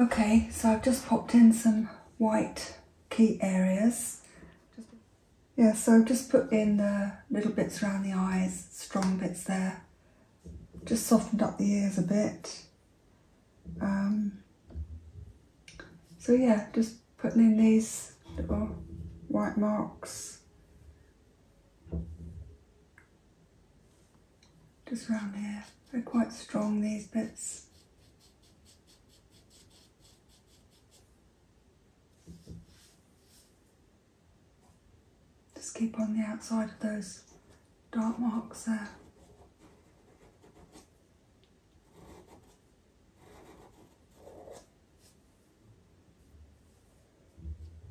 Okay, so I've just popped in some white key areas. Yeah, so I've just put in the little bits around the eyes, strong bits there. Just softened up the ears a bit. Um, so yeah, just putting in these little white marks just around here. They're quite strong, these bits. Just keep on the outside of those dark marks there.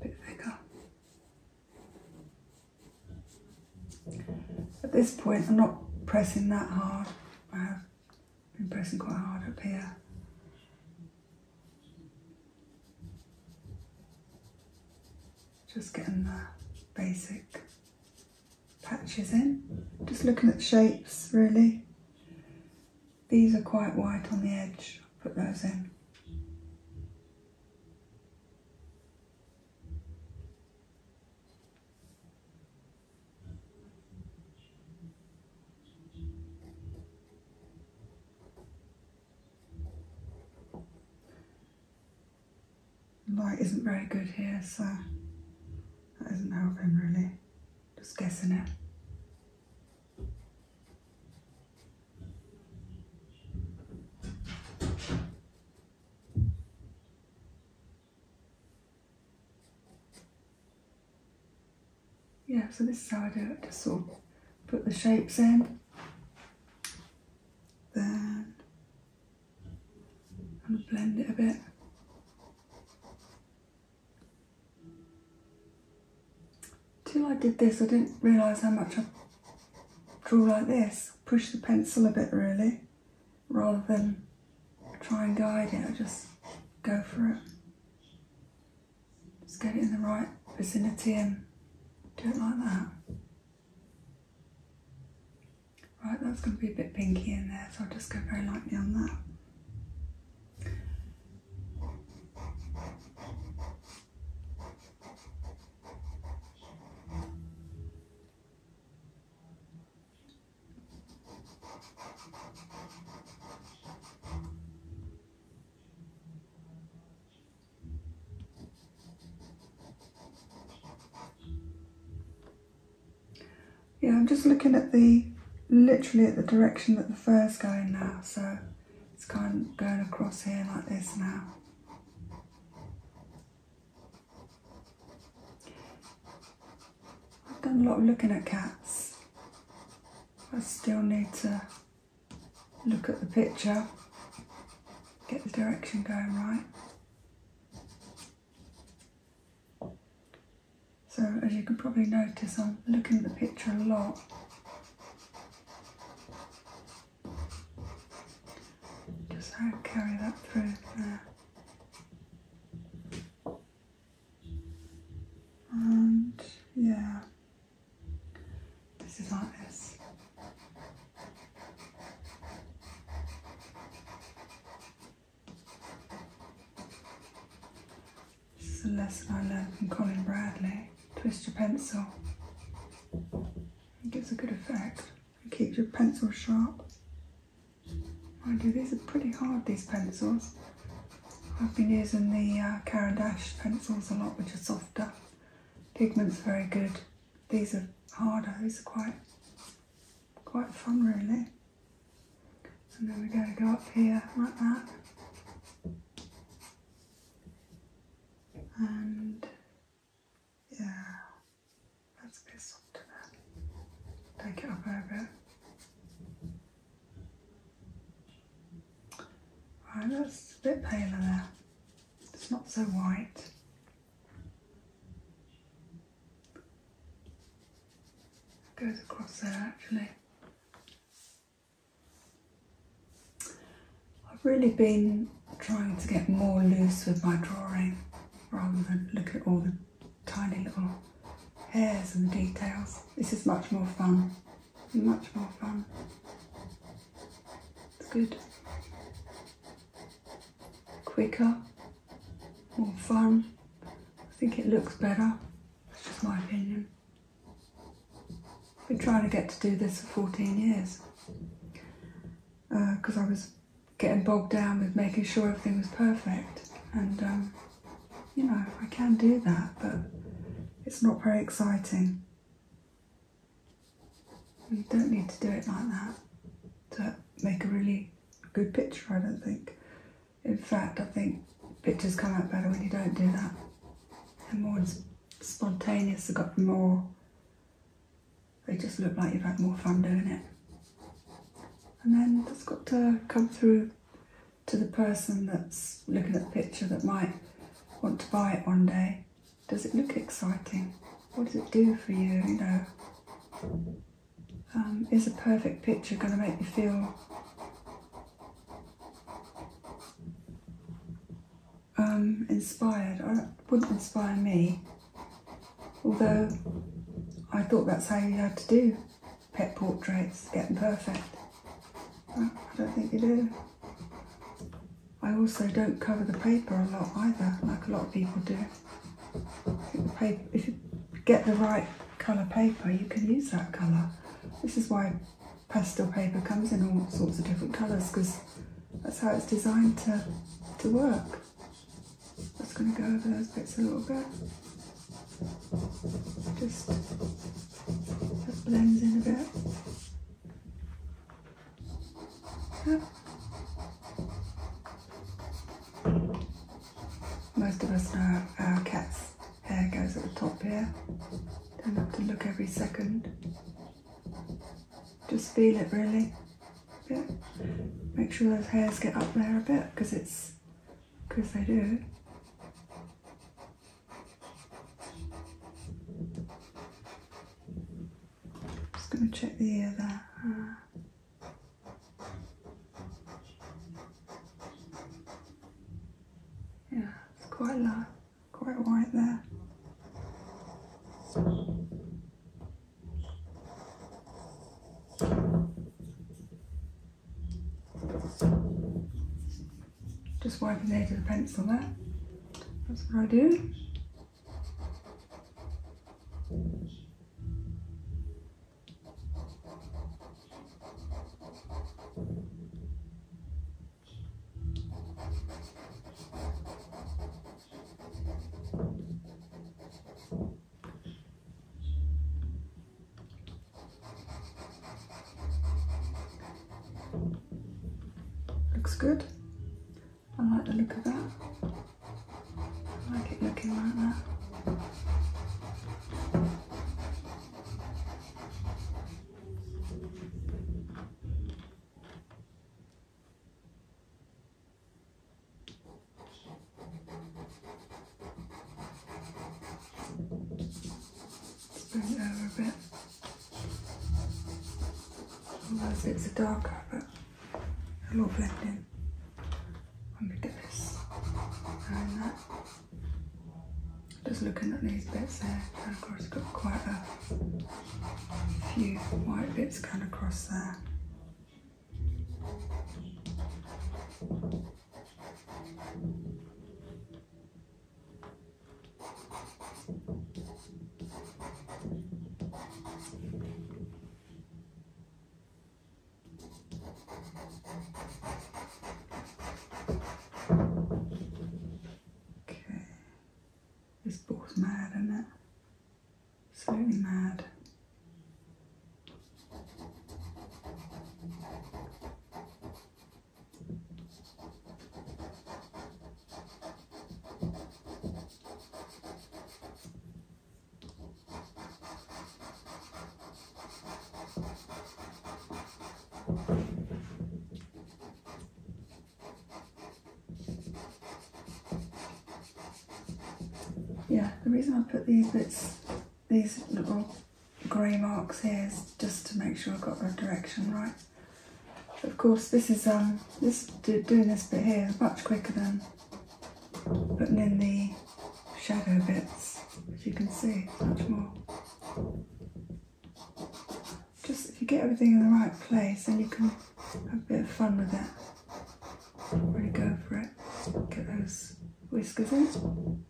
Bit thicker. At this point I'm not pressing that hard. I have been pressing quite hard up here. Just getting the basic patches in. Just looking at shapes really. These are quite white on the edge, put those in. Light isn't very good here, so that isn't helping really. Just guessing it. Yeah, so this is how I do it, just sort of put the shapes in then i blend it a bit. Till I did this, I didn't realise how much I draw like this. Push the pencil a bit really, rather than try and guide it. I just go for it. Just get it in the right vicinity and do it like that. Right, that's going to be a bit pinky in there, so I'll just go very lightly on that. Yeah, I'm just looking at the, literally at the direction that the fur's going now. So it's kind of going across here like this now. I've done a lot of looking at cats. I still need to look at the picture, get the direction going right. So as you can probably notice, I'm looking at the picture a lot. Just carry that through there. And yeah. This is not this. This is a lesson I learned from Colin Bradley. Twist your pencil. It gives a good effect. It keeps your pencil sharp. Mind you, these are pretty hard, these pencils. I've been using the uh, Caran pencils a lot, which are softer. Pigment's very good these are harder, these are quite quite fun really. And then we're going to go up here like that. And yeah, that's a bit softer there. Take it up a bit. Right, that's a bit paler there. It's not so white. It goes across there actually. I've really been trying to get more loose with my drawing rather than look at all the tiny little hairs and details. This is much more fun, much more fun. It's good, quicker, more fun. I think it looks better. It's just my opinion. Been trying to get to do this for 14 years because uh, I was getting bogged down with making sure everything was perfect. And um, you know, I can do that, but it's not very exciting. You don't need to do it like that to make a really good picture, I don't think. In fact, I think pictures come out better when you don't do that. they more spontaneous, they've got more, they just look like you've had more fun doing it. And then that's got to come through to the person that's looking at the picture that might want to buy it one day does it look exciting? What does it do for you? You know, um, is a perfect picture going to make you feel um, inspired? I wouldn't inspire me. Although I thought that's how you had to do pet portraits, get them perfect. I don't think you do. I also don't cover the paper a lot either, like a lot of people do. If you get the right colour paper, you can use that colour. This is why pastel paper comes in all sorts of different colours, because that's how it's designed to, to work. I'm just going to go over those bits a little bit. Just that blends in a bit. Most of us know our cat's hair goes at the top here. Don't have to look every second. Just feel it really. Bit. Make sure those hairs get up there a bit because it's because they do. Just going to check the ear there. yeah, it's quite light, quite white there. Just wipe the edge of the pencil there. That's what I do. Looks good. I like the look of that. I like it looking like that. Thank you let bring it over a bit. Otherwise it's a darker, but it'll all blend in when we get this and that. Just looking at these bits there, and of course it's got quite a few white bits going across there. Okay. This ball's mad, isn't it? Absolutely mad. Yeah, the reason I put these bits, these little grey marks here just to make sure I've got the direction right. of course this is um this doing this bit here is much quicker than putting in the shadow bits as you can see much more. Just if you get everything in the right place then you can have a bit of fun with it. Really go for it. Get those whiskers in.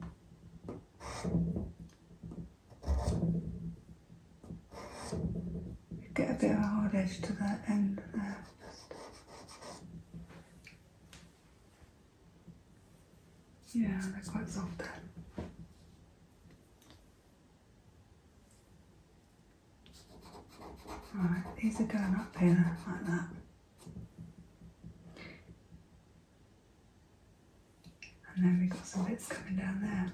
Get a bit of a hard edge to that end there. Yeah, they're quite soft there. Right, these are going up here like that. And then we've got some bits coming down there.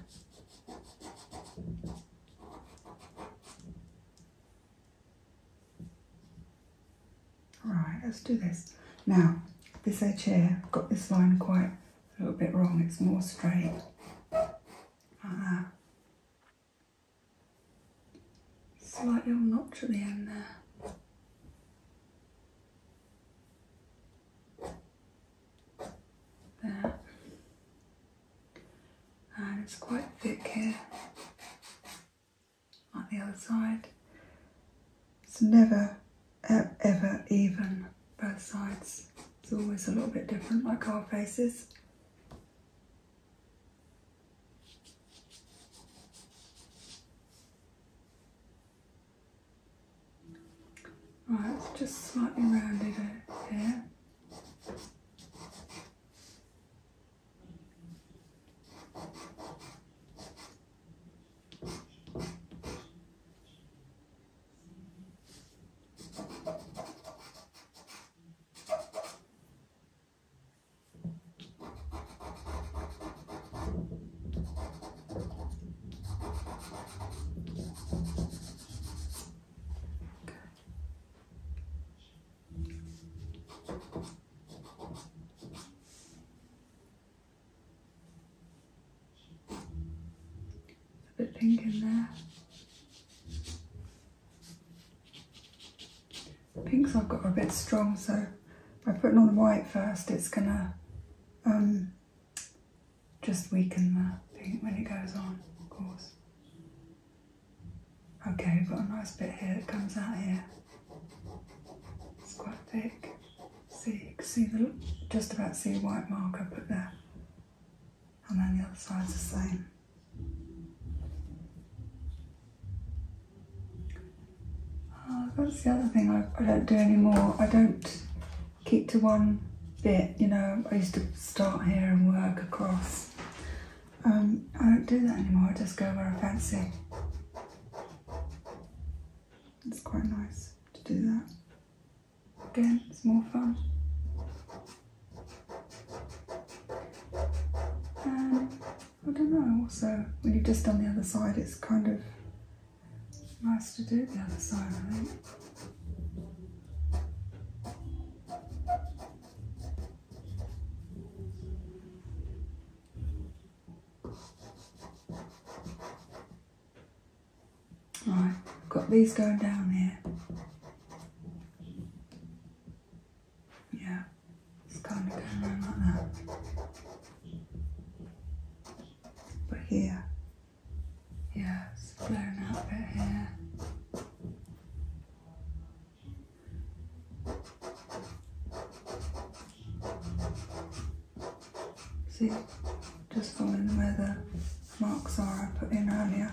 Alright, let's do this. Now, this edge here, I've got this line quite a little bit wrong, it's more straight. Like that. Uh-huh. Slight little notch at the end there. And it's quite thick here on the other side. It's never ever even both sides. It's always a little bit different like our faces. Right, just slightly rounded here. A bit pink in there. Pinks I've got a bit strong, so by putting on white first, it's gonna um, just weaken the thing when it goes on, of course. Okay, we've got a nice bit here that comes out here. It's quite thick. See, you can see the, just about see white mark I put there. And then the other side's the same. Oh, that's the other thing I, don't do anymore. I don't keep to one bit, you know. I used to start here and work across. Um, I don't do that anymore, I just go where I fancy. It's quite nice to do that. Again, it's more fun. Um, I don't know, So when you've just done the other side, it's kind of Nice to do the other side, Right, got these going down here. Yeah, it's kind of going around like that. But here, yeah, it's flaring out a bit here. See, just following where the marks are I put in earlier.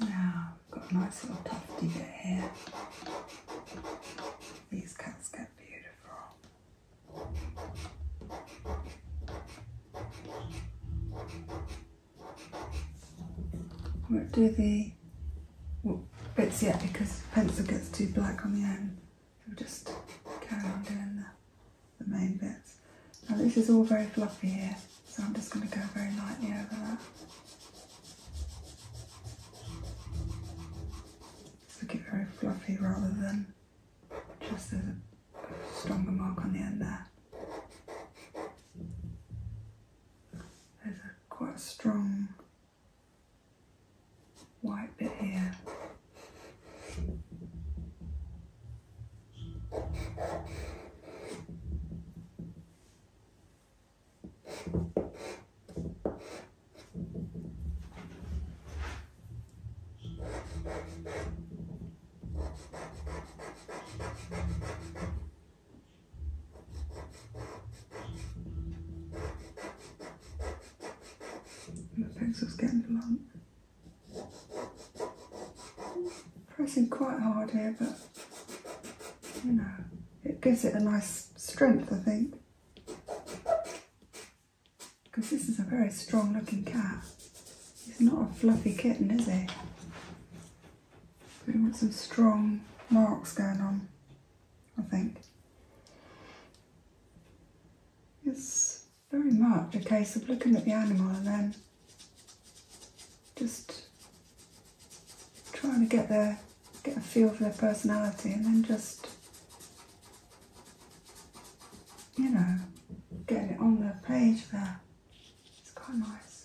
Now we've got a nice little tufty bit here. These cats get beautiful. I will do the bits yet because pencil gets too black on the end. We'll just carry on doing that the main bits. Now this is all very fluffy here, so I'm just going to go very lightly over that. Just look it very fluffy rather than just a stronger mark on the end there. There's a quite strong white bit here. The legs are getting long. Pressing quite hard here, but you know, it gives it a nice strength, I think. Because this is a very strong looking cat. He's not a fluffy kitten, is he? we want some strong marks going on, I think. Yes very much a case of looking at the animal and then just trying to get there, get a feel for their personality and then just you know get it on the page there it's quite nice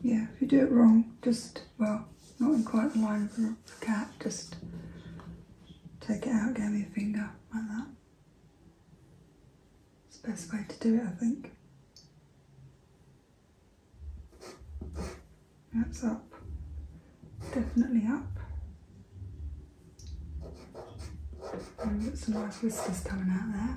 Yeah, if you do it wrong, just, well, not in quite the line of the cat, just take it out again me a finger, like that. It's the best way to do it, I think. That's up. Definitely up. we've got some nice whiskers coming out there.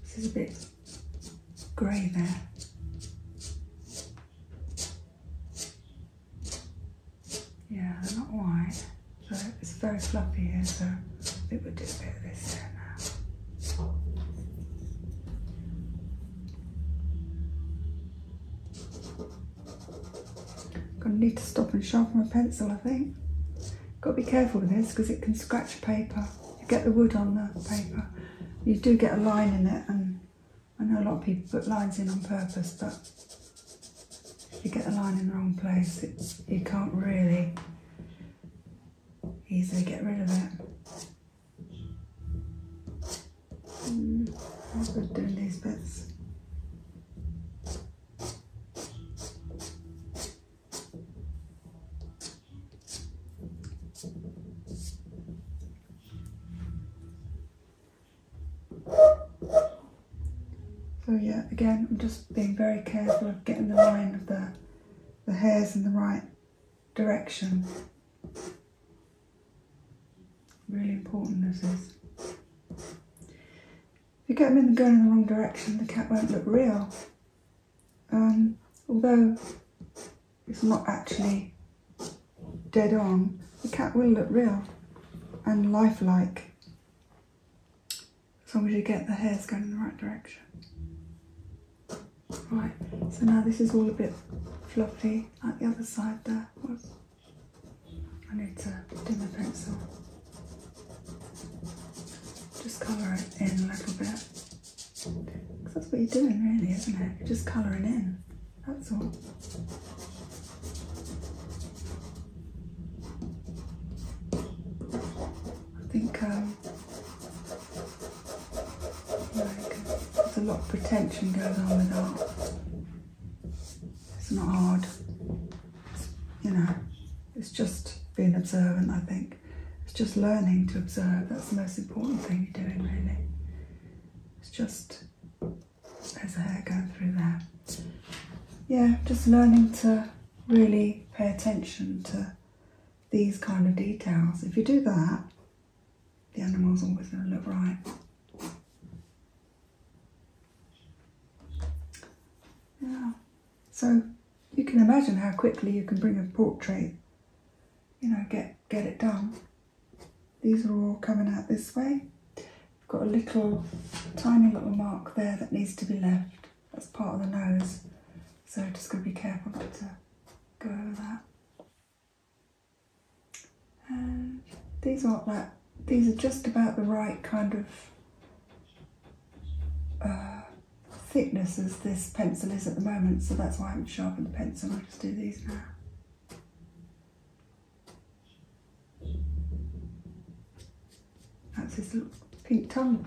This is a bit grey there. Yeah, they're not white, but it's very fluffy here, so I think we'll do a bit of this now. Gonna need to stop and sharpen a pencil, I think. Gotta be careful with this because it can scratch paper. You get the wood on the paper. You do get a line in it and I know a lot of people put lines in on purpose, but if you get the line in the wrong place, it, you can't really easily get rid of it. Mm, let's put down these bits. So yeah, again, I'm just being very careful of getting the line of the, the hairs in the right direction. Really important this is. If you get them in going in the wrong direction, the cat won't look real. Um, although it's not actually dead on, the cat will look real and lifelike as long as you get the hairs going in the right direction. Right, so now this is all a bit fluffy at the other side there. Whoops. I need to dimmer pencil. Just colour it in a little bit. that's what you're doing really, isn't it? You're just colouring in. That's all. I think um, there's a lot of pretension going on with art. It's not hard, you know, it's just being observant, I think. It's just learning to observe. That's the most important thing you're doing, really. It's just, as a hair going through there. Yeah, just learning to really pay attention to these kind of details. If you do that, the animal's always going to look right. Yeah. So you can imagine how quickly you can bring a portrait, you know, get, get it done. These are all coming out this way. I've got a little, tiny little mark there that needs to be left. That's part of the nose. So just going to be careful not to go over that. And these aren't that, these are just about the right kind of uh, thickness as this pencil is at the moment, so that's why I haven't sharpened the pencil, I'll just do these now. That's his little pink tongue.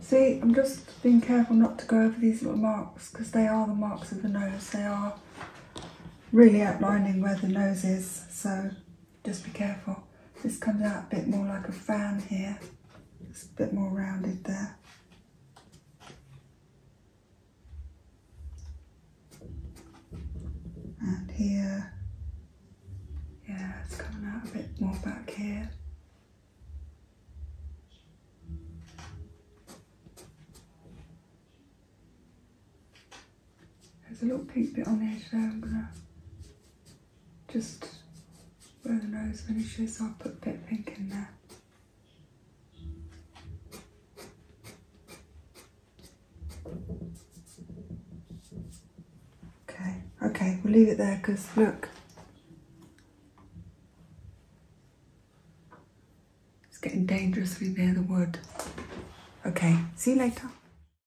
See, I'm just being careful not to go over these little marks because they are the marks of the nose. They are really outlining where the nose is. So just be careful. This comes out a bit more like a fan here. It's a bit more rounded there. And here, yeah, it's coming out a bit more back here. There's a little pink bit on the edge there. I'm gonna just where the nose finishes, I'll put a bit pink in there. Okay, okay, we'll leave it there because look, it's getting dangerous dangerously near the wood. Okay, see you later.